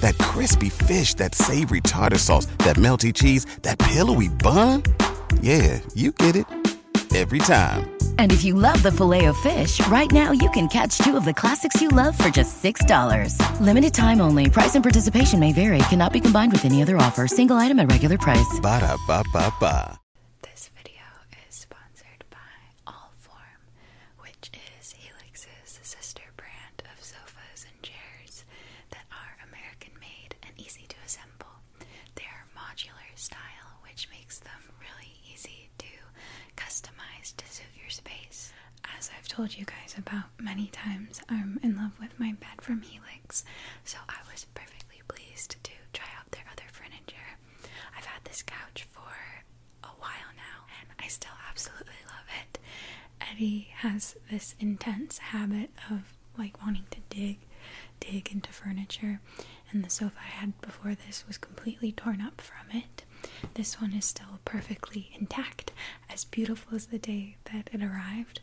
that crispy fish, that savory tartar sauce, that melty cheese, that pillowy bun. Yeah, you get it every time. And if you love the filet of fish, right now you can catch two of the classics you love for just $6. Limited time only. Price and participation may vary. Cannot be combined with any other offer. Single item at regular price. Ba da ba ba ba. This video is sponsored by All Four which is Helix's sister brand of sofas and chairs that are American made and easy to assemble. They are modular style, which makes them really easy to customize to suit your space. As I've told you guys about many times, I'm in love with my bed from Helix, so I was perfectly pleased to try out their other furniture. I've had this couch for a while now, and I still absolutely love it. Eddie has this intense habit of like wanting to dig, dig into furniture, and the sofa I had before this was completely torn up from it. This one is still perfectly intact, as beautiful as the day that it arrived.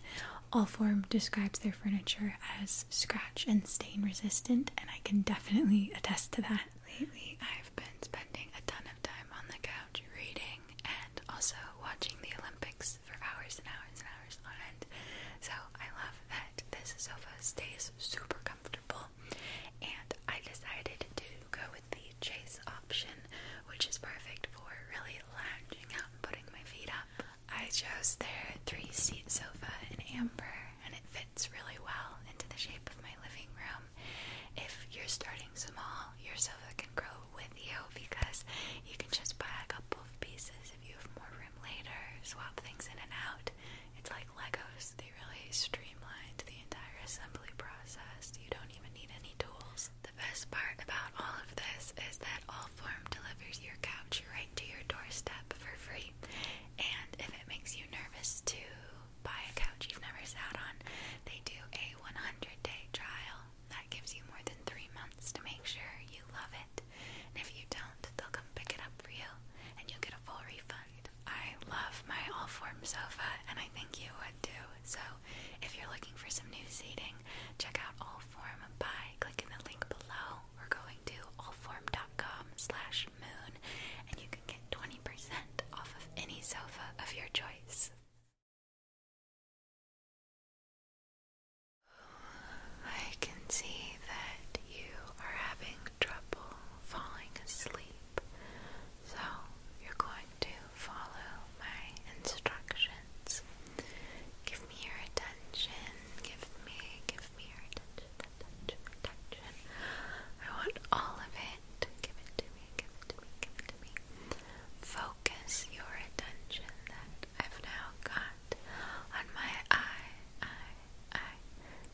Allform describes their furniture as scratch and stain resistant, and I can definitely attest to that. Lately, I've been spending a ton of time on the couch reading and also watching the Olympics for hours and hours and hours on end. So, I love that this sofa stays super comfortable. And I decided to go with the chase option, which is perfect for really lounging out and putting my feet up. I chose their three seat sofa in amber, and it fits really well into the shape of my living room. Um, if you're starting small, your sofa can grow with you because you can just buy a couple of pieces if you have more room later, swap things in and out. It's like Legos, they really streamline the entire assembly process. You don't even need any tools. The best part about all of this is that Allform delivers your couch right to your doorstep for free. And if it makes you nervous too buy a couch you've never sat on. They do a 100 day trial that gives you more than three months to make sure you love it. And if you don't, they'll come pick it up for you and you'll get a full refund. I love my all form sofa and I think you would too. So if you're looking for some new seating, check out all form by clicking the link below or going to allform.com slash moon and you can get 20% off of any sofa of your choice. I can see that you are having trouble falling asleep, so you're going to follow my instructions. Give me your attention, give me, give me your attention, I want all of give it to me, give it to me, give it to me. Focus your attention that I've now got on my eye, eye, eye,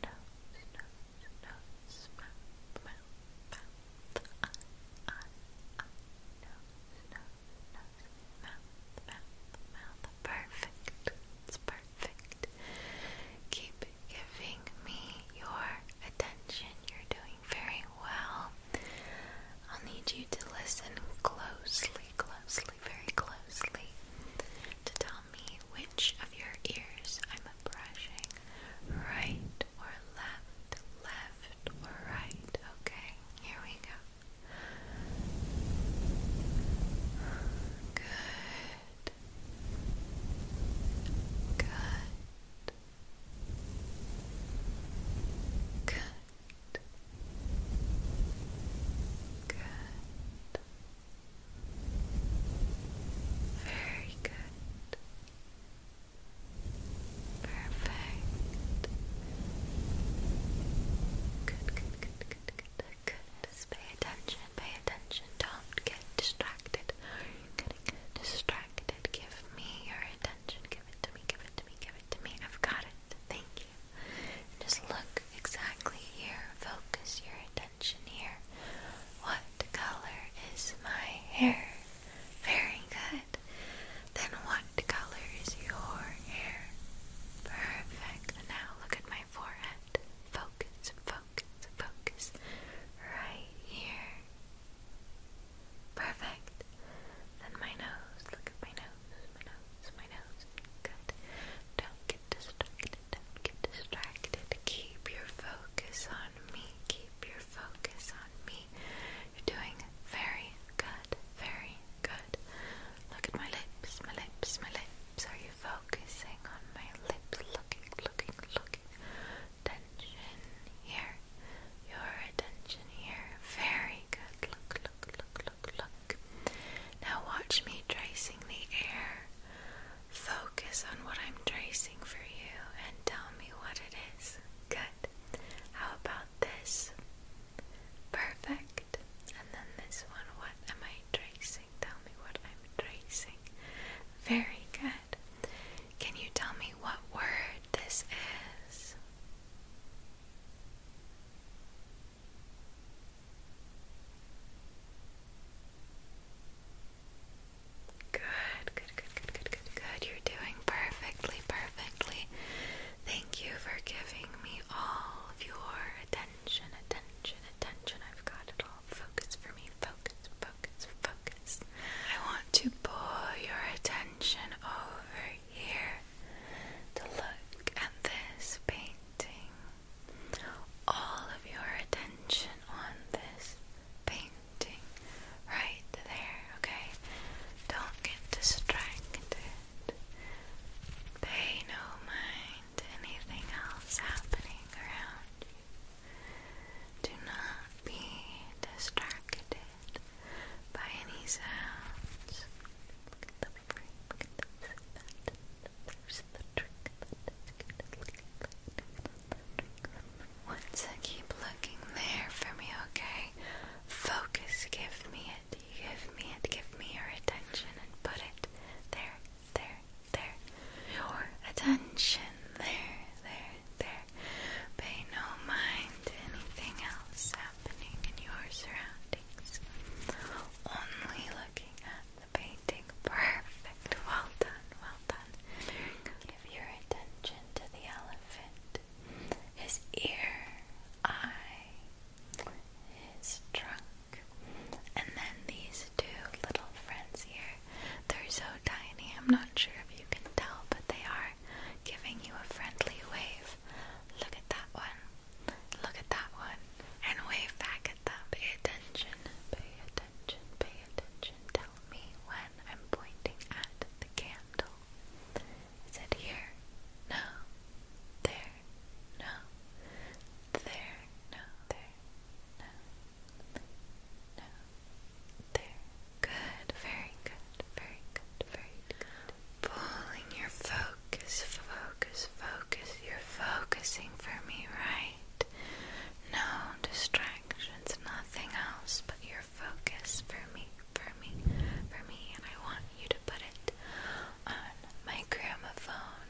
nose, nose, nose, mouth, mouth, mouth, eye, eye, eye, nose, nose, nose, mouth, mouth, mouth. Perfect. It's perfect. Keep giving me your attention. You're doing very well. I'll need you to listen closely, closely, very closely to tell me which of your ears I'm brushing right or left, left or right. Okay, here we go. Good. Good. Good. Good. Very good. Perfect. Good, good, good, good, good. Good. Just pay attention, pay attention. Don't get distracted distracted. Give me your attention. Give it to me. Give it to me. Give it to me. I've got it. Thank you. just look exactly here. Focus your attention here. What color is my hair? Very good. Then what color is your hair? Perfect. Now look at my forehead. Focus. Focus focus, right here. Perfect. Then my nose, look at my nose, my nose, my nose. Good. Don't get distracted, don't get distracted. Keep your focus on me, keep your focus on me. You're doing very good, very good. Look at my lips, my lips, my lips. Are you focusing on my lips? Looking, looking, looking attention here. Your attention here. Very good. Look, look, look, look, look. Now watch me tracing the air. Focus on what I'm tracing for you and tell me what it is. Good. How about this? Perfect. And then this one, what am I tracing? Tell me what I'm tracing. Very good. Can you tell me what word this is? Good, good, good, good, good, good, good. You're doing perfectly, perfectly. Thank you for giving me all of your attention, attention, attention. I've got it all. Focus for me, focus, focus, I want to pull your attention over here to look at this painting. All of your attention on this painting right there, okay? Don't get distracted. Pay no mind to anything else happening around do not be distracted by any sounds. Look at the look at the There's the trick. Once I keep looking there for me, okay? Focus, give me it, give me it, give me your attention and put it there, there, there. Your attention there, there, there. Pay no mind to anything else happening in your surroundings. Only looking at the painting. Perfect. Well done, well done. Give your attention to the elephant. His ear, eye, his trunk, and then these two little friends here they're so tiny, I'm not sure if you can tell, but they are giving you a friendly wave. Look at that one. Look at that one. And wave back at them. Pay attention. Pay attention. Pay attention. Tell me when I'm pointing at the candle. Is it here? No. There. No. There. No. There no, no. There. Good. Very good. Very good. Very good. Pulling your focus, focus, focus. You're focusing for me, right? No distractions, nothing else but your focus for me, for me, for me. And I want you to put it on my gramophone.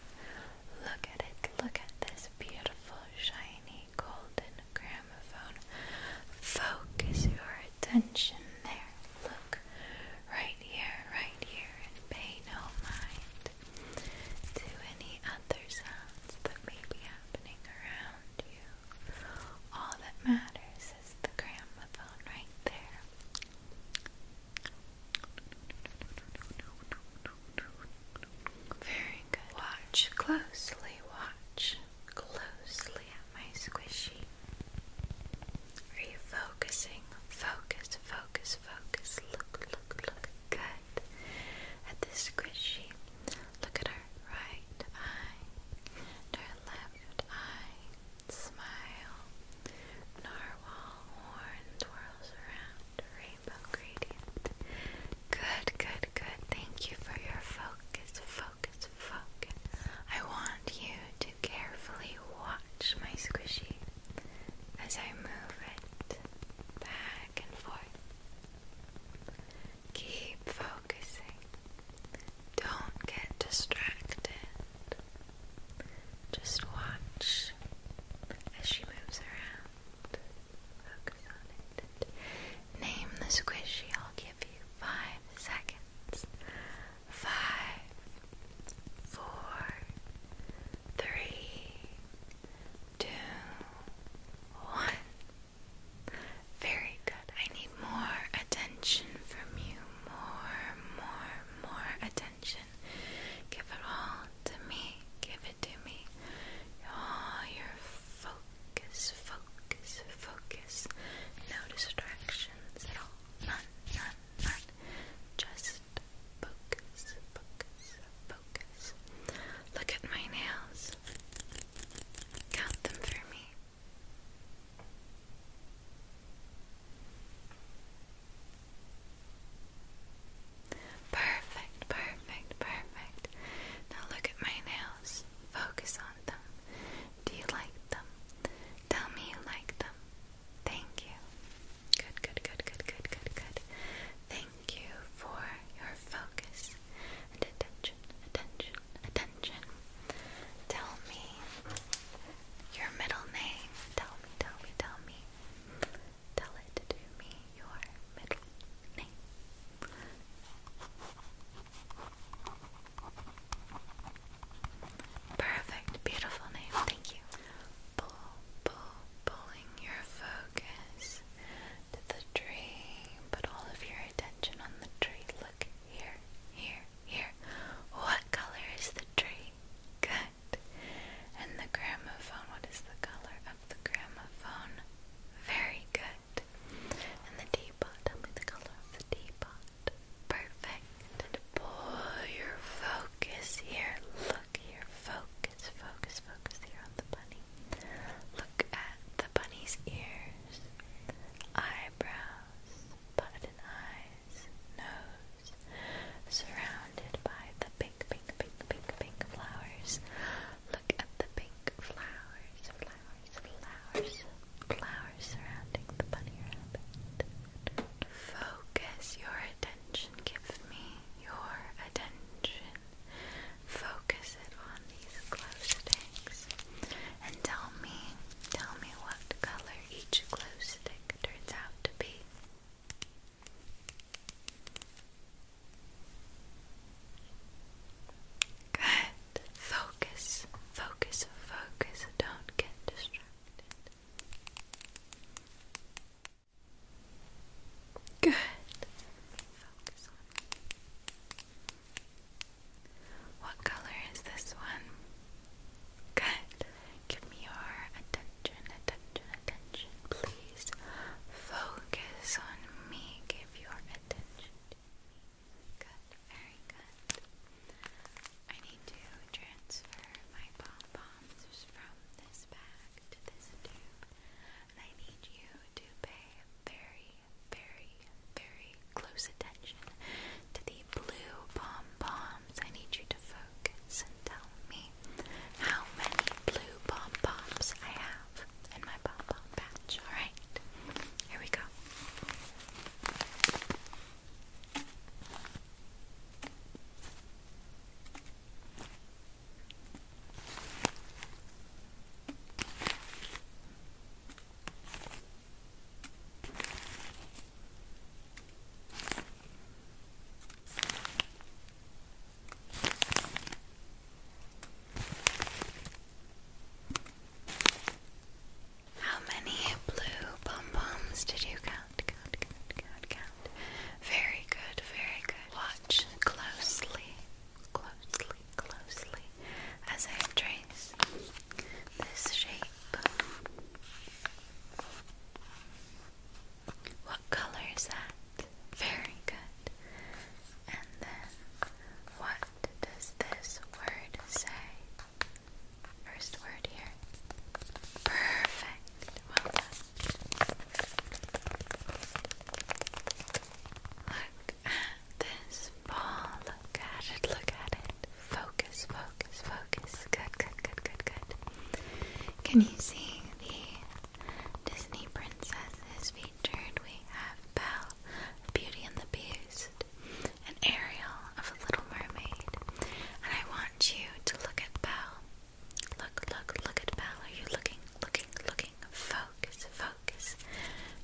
Look at it. Look at this beautiful, shiny golden gramophone. Focus your attention there. Look right here, right here, and pay no mind to any other sounds that may be happening around you. All that matters is the gramophone right there. Very good. Watch closely, watch closely at my squishy. Are you focusing? Focus, focus, focus. Look, look, look. Good. At the squishy. Look at her right eye her left eye. Smile. Narwhal horn twirls around rainbow gradient. Good, good, good. Thank you for your focus, focus, focus. I want you to carefully watch my squishy as I move it back and forth. Keep focusing. Don't get distracted. Just watch as she moves around. Name the squishy. I'll give you five seconds. Five, four, three, two, one. Very good. I need more attention from you. More, more, more attention. Give it all to me give it to me. Oh, your focus, focus, focus. No distractions None, none, none. Just focus, focus, focus. Look at my nails. Count them for me. Perfect, perfect, perfect. Now look at my nails. Focus on them. Do you like them? Tell me you like them. Thank you. Good, good, good, good, good, good, good. Thank you for your focus and attention, attention, attention. Tell me your middle name. Tell me, tell me, tell me. Tell it to me your middle name. Perfect, beautiful name. Thank you. Pull, pull, pulling your focus to the tree. Put all of your attention on the tree. Look here, here, here. What color is the tree? Good. And the gramophone, what is the color of the gramophone. Very good. And the teapot. Tell me the color of the teapot. Perfect. And pull your focus here. Look here. Focus, focus, focus here on the bunny. Look at the bunny's ears, eyebrows, button eyes, nose, surrounded by the pink, pink, pink, pink, pink flowers Look at the pink flowers, flowers, flowers, flowers surrounding the bunny rabbit. Focus your attention. Give me your attention. Focus it on these glow sticks. And tell me, tell me what color each glue stick turns out to be. Good. Focus, focus, focus. Don't get distracted. Good. Focus on What color is this one? Good. Give me your attention attention, attention, attention. Please focus on me. Give your attention to me. Good, very good. I need to transfer my pom poms from this bag to this tube, and I need you to pay very, very, very close attention to the blue pom poms. I need you to focus and tell me how many blue pom poms I have in my pom pom patch. Alright, here we go. How many blue pom-poms did you count? Count, count, count, count. Very good, very good. Watch closely, closely, closely as I trace this shape. What color is that? Very good. And then, what does this word say? First word here. Perfect. Look at this ball. Look at it. Look at it. Focus, focus, focus. Good, good, good, good, good. Can you see the Disney princesses featured we have Belle Beauty and the Beast and Ariel of The Little Mermaid. And I want you to look at Belle. Look, look, look at Belle. Are you looking, looking, looking? Focus, focus.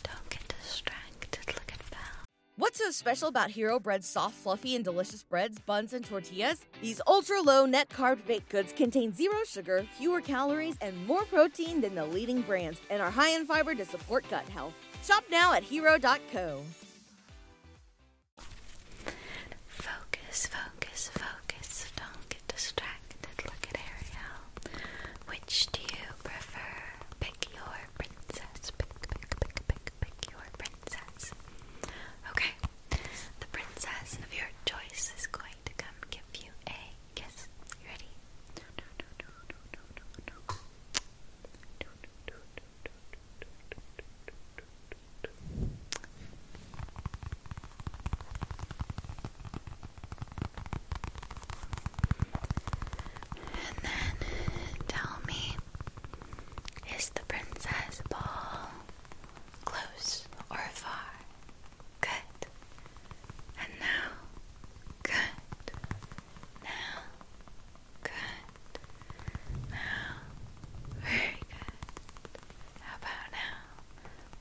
Don't get distracted. Look at Belle. What's so special about Hero bread? soft, fluffy, and delicious breads, buns, and tortillas? these ultra low net carb baked goods contain zero sugar, fewer calories, and more protein than the leading brands, and are high in fiber to support gut health. Shop now at hero.co. Focus, focus, focus. Don't get distracted. Look at Ariel. Which do you prefer? Pick your princess. Pick, pick, pick, pick, pick your princess. Okay. The princess of your choice is going to come give you a kiss. ready? And then tell me, is the princess ball close or far. Good. And now, good. Now, good. Now, very good. How about now?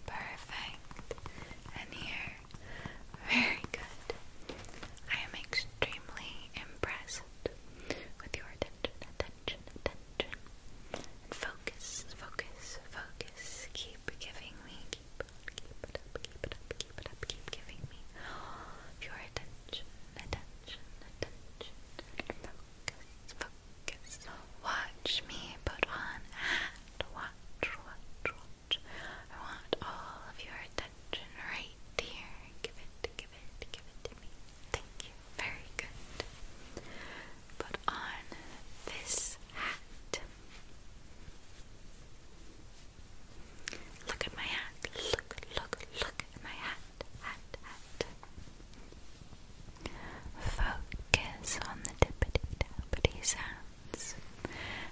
Perfect. And here, very good. I am extremely impressed with your attention attention, focus, focus, focus. Keep giving me, keep, it up, keep it up, keep it up, keep giving me your attention, attention, attention. Focus, focus. Watch me put on a hat. Watch, watch, watch. I want all of your attention right here. Give it, give it, give it to me. Thank you, very good. Put on this hat. Look at my hat. Look, look, look at my hat. Hat, hat. Focus on the tippity tappity sounds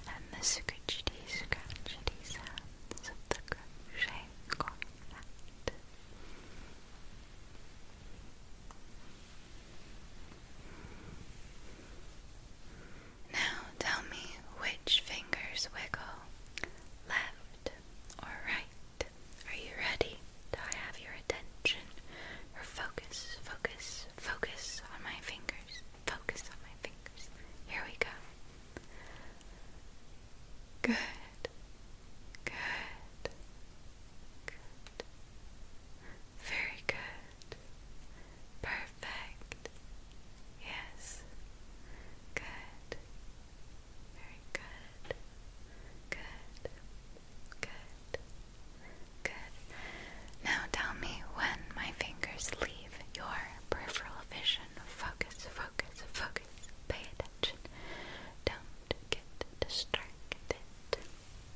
and the scratchity scratchity sounds of the crochet cornet. Now tell me which fingers wiggle, left or right. Are you ready? Do I have your attention? Or focus, focus, focus on my fingers. Focus on my fingers. Here we go. Good. Good. Very good. Perfect. Yes. Good. Very good. Good. Good. Good. Now tell me when my fingers leave your peripheral vision. Focus, focus, focus. Pay attention. Don't get distracted.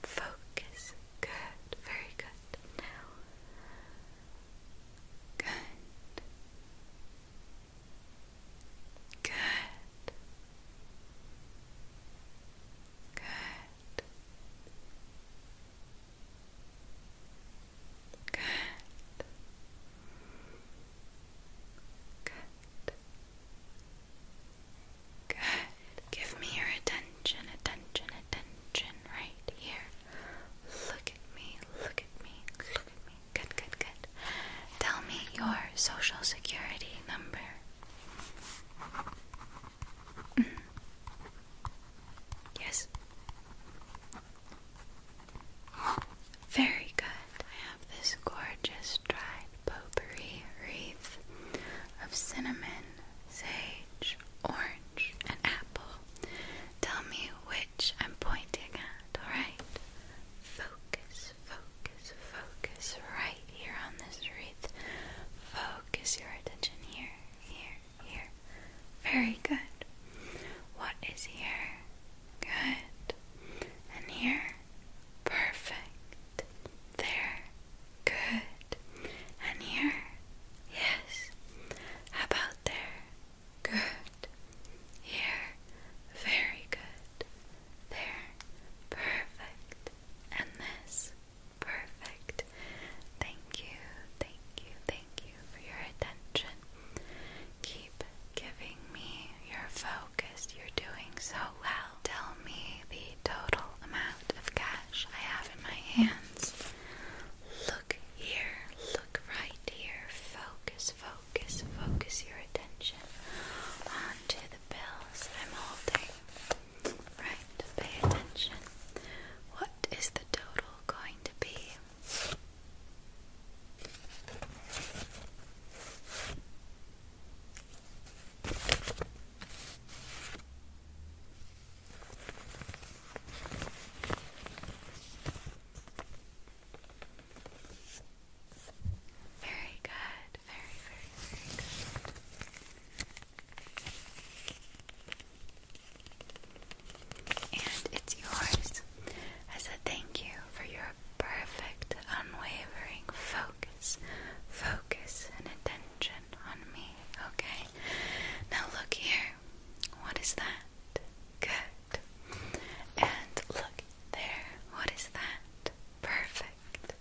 Focus. Good. Very good. Now. Good. Good. Good. Good. Good. Good. Give me your attention, attention, attention right here. Look at me, look at me, look at me. Good, good, good. Tell me your social security number. Mm-hmm. Yes. Very good. I have this gorgeous dried potpourri wreath of cinnamon, sage, orange, and apple. Tell me which I'm pointing at, alright? Focus, focus, focus right here on this wreath. Focus your attention here, here, here. Very good. What is here? Good. And here? perfect. There, good. And here, yes. about there? Good. Here, very good. There, perfect. And this, perfect. Thank you, thank you, thank you for your attention. Keep giving me your focus. You're doing so well. Tell me the total amount of cash I have in my hands. Look here, look right here. Focus, focus, focus your attention onto the bills I'm holding. Right, pay attention. What is the total going to be? Very good, very, very, very good. And it's yours as a thank you for your perfect, unwavering focus, focus, and attention on me, okay? Now look here. What is that? Good. And look there. What is that? Perfect.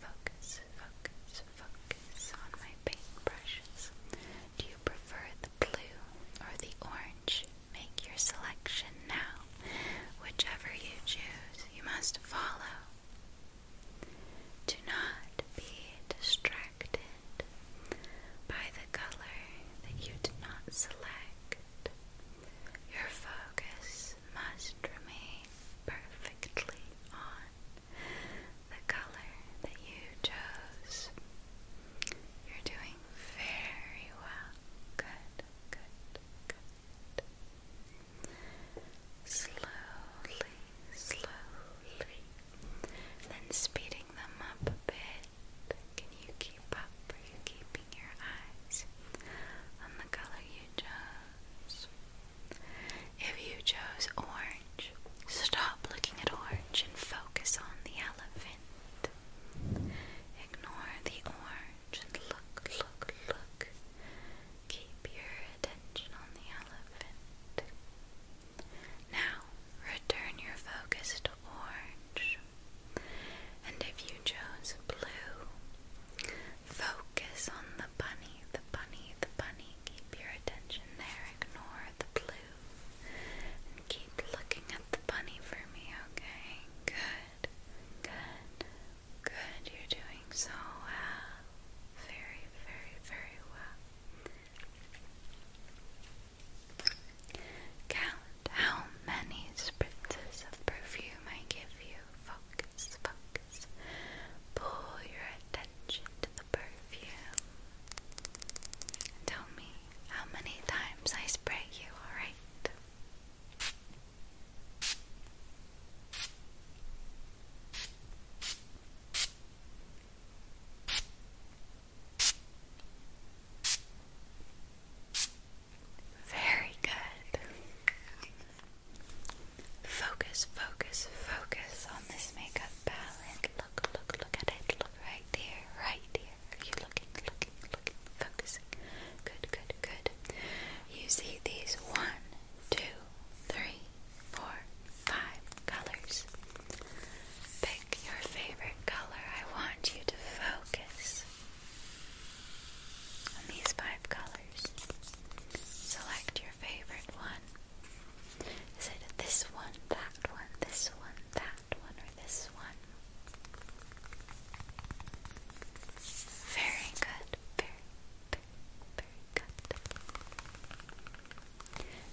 Focus, focus, focus on my paintbrushes. Do you prefer the blue or the orange? Make your selection now whichever you choose, you must follow. Do not be distracted by the color that you did not select. Your focus must remain perfectly on the color that you chose. You're doing very well. Good, good, good slowly, slowly, then speeding them up a bit. Can you keep up? Are you keeping your eyes on the color you chose? If you chose orange, stop looking at orange and focus on the elephant. Ignore the orange look, look, look. Keep your attention on the elephant. Now, return your focus to orange. And if you chose blue, focus on the bunny, the bunny, the bunny. Keep your attention there. Ignore the blue. And keep looking at the bunny for me, okay? Good. Good. Good, you're doing so well. Very, very, very well. Count how many spritzes of perfume I give you. Focus, focus. Pull your attention to the perfume. Tell me how many times I spray you, alright? Very good. Focus, focus, focus on this makeup palette. Look, look, look at it. Look right there, right there. Are you looking, looking, looking, focusing? Good, good, good, You see these one, two, three, four, five colors. Pick your favorite color. I want you to focus on these five colors. Select your favorite one. Is it this one, that one, this one, that one, or this one? Very good. Very, very, very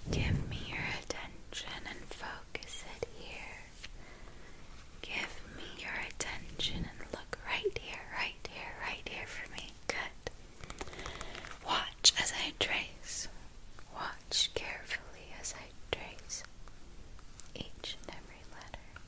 good. Give me your attention and focus it here. Give me your attention and look right here, right here, right here for me. Good. Watch as I trace. Watch carefully as I trace each and every letter.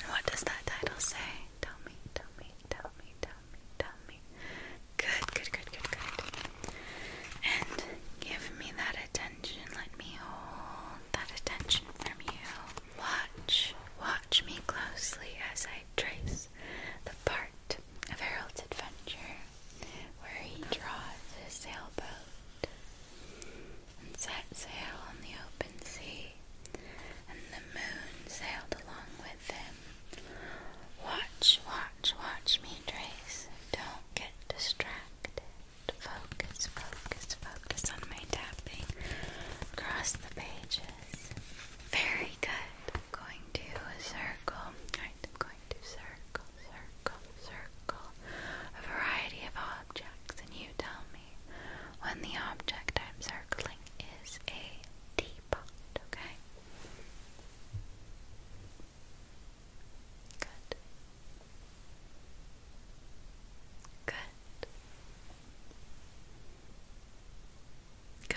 And what does that title say? Tell me, tell me, tell me, tell tummy, tummy. Good, good, good, good, good. And give me that attention. Let me hold that attention from you. Watch, watch me closely as I trace the part of Harold's adventure where he draws his sailboat and set sail on the open sea. And the moon sailed along with Watch, watch, watch me trace. Don't get distracted. Focus, focus, focus on my tapping across the pages. Very good. I'm going to circle. Alright, I'm going to circle, circle, circle a variety of objects, and you tell me when the object I'm circling is a deep okay? Good. Good. Good. Good.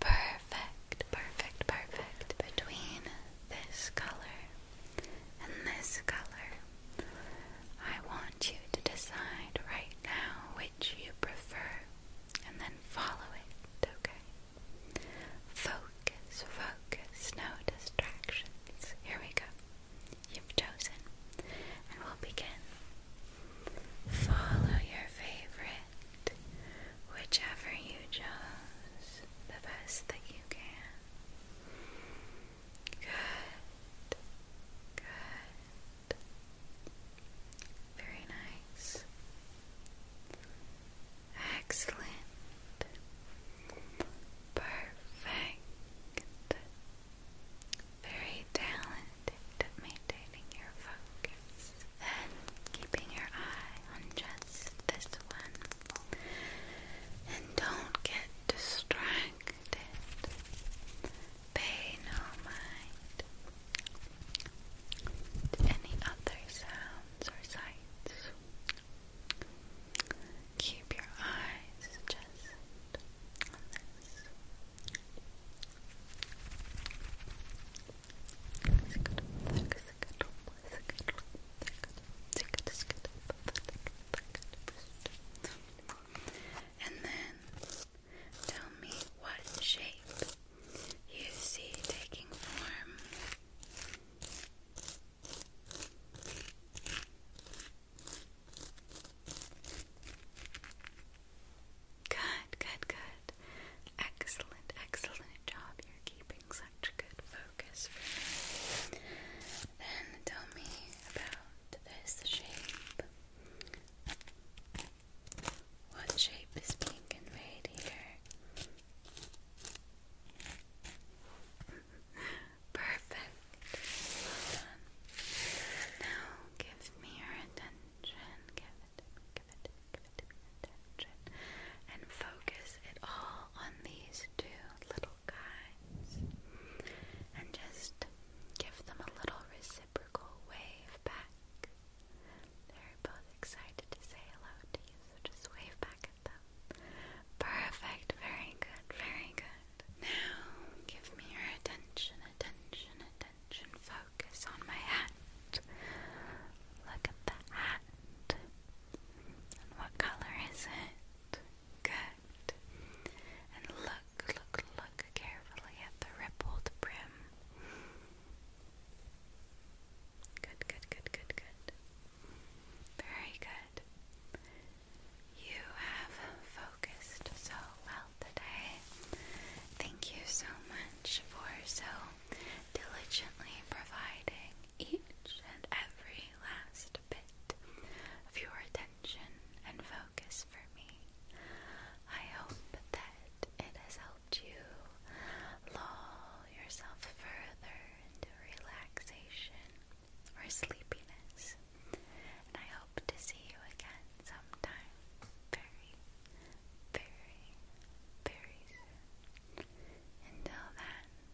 Perfect, perfect, perfect. Between this color and this color. I want you to decide right now which you prefer and then follow it, okay? Focus, focus, no distractions. Here we go. You've chosen, and we'll begin. Follow your favorite, whichever you chose, the best that you can. Good. Good. Very nice. Excellent. Perfect. Very talented at maintaining your focus. Then keeping your eye on just this one and don't get distracted. Pay no mind to any other sounds or sights. Keep your eyes just on this. And then tell me what shape you see taking form. Good, good, good. Excellent, excellent job you're keeping such good focus Then tell me about this shape. What shape is being conveyed here? Perfect. Now give me your attention. give it, give it, give it attention, and focus it all on these two little guys, and just give them a little reciprocal wave back. They're both excited to say hello to you, so just wave back at them. Perfect, very good, very good. Now, give me your attention, attention, attention. Focus on my hat. Look at the hat. what color is it? Good. And look, look, look carefully at the rippled brim. Good, good, good, good, good. Very good. You have focused so well today. Thank you so much for so diligently providing each and every last bit of your attention and focus for me. I hope that it has helped you lull yourself further into relaxation or sleepiness. And I hope to see you again sometime very, very, very Until then,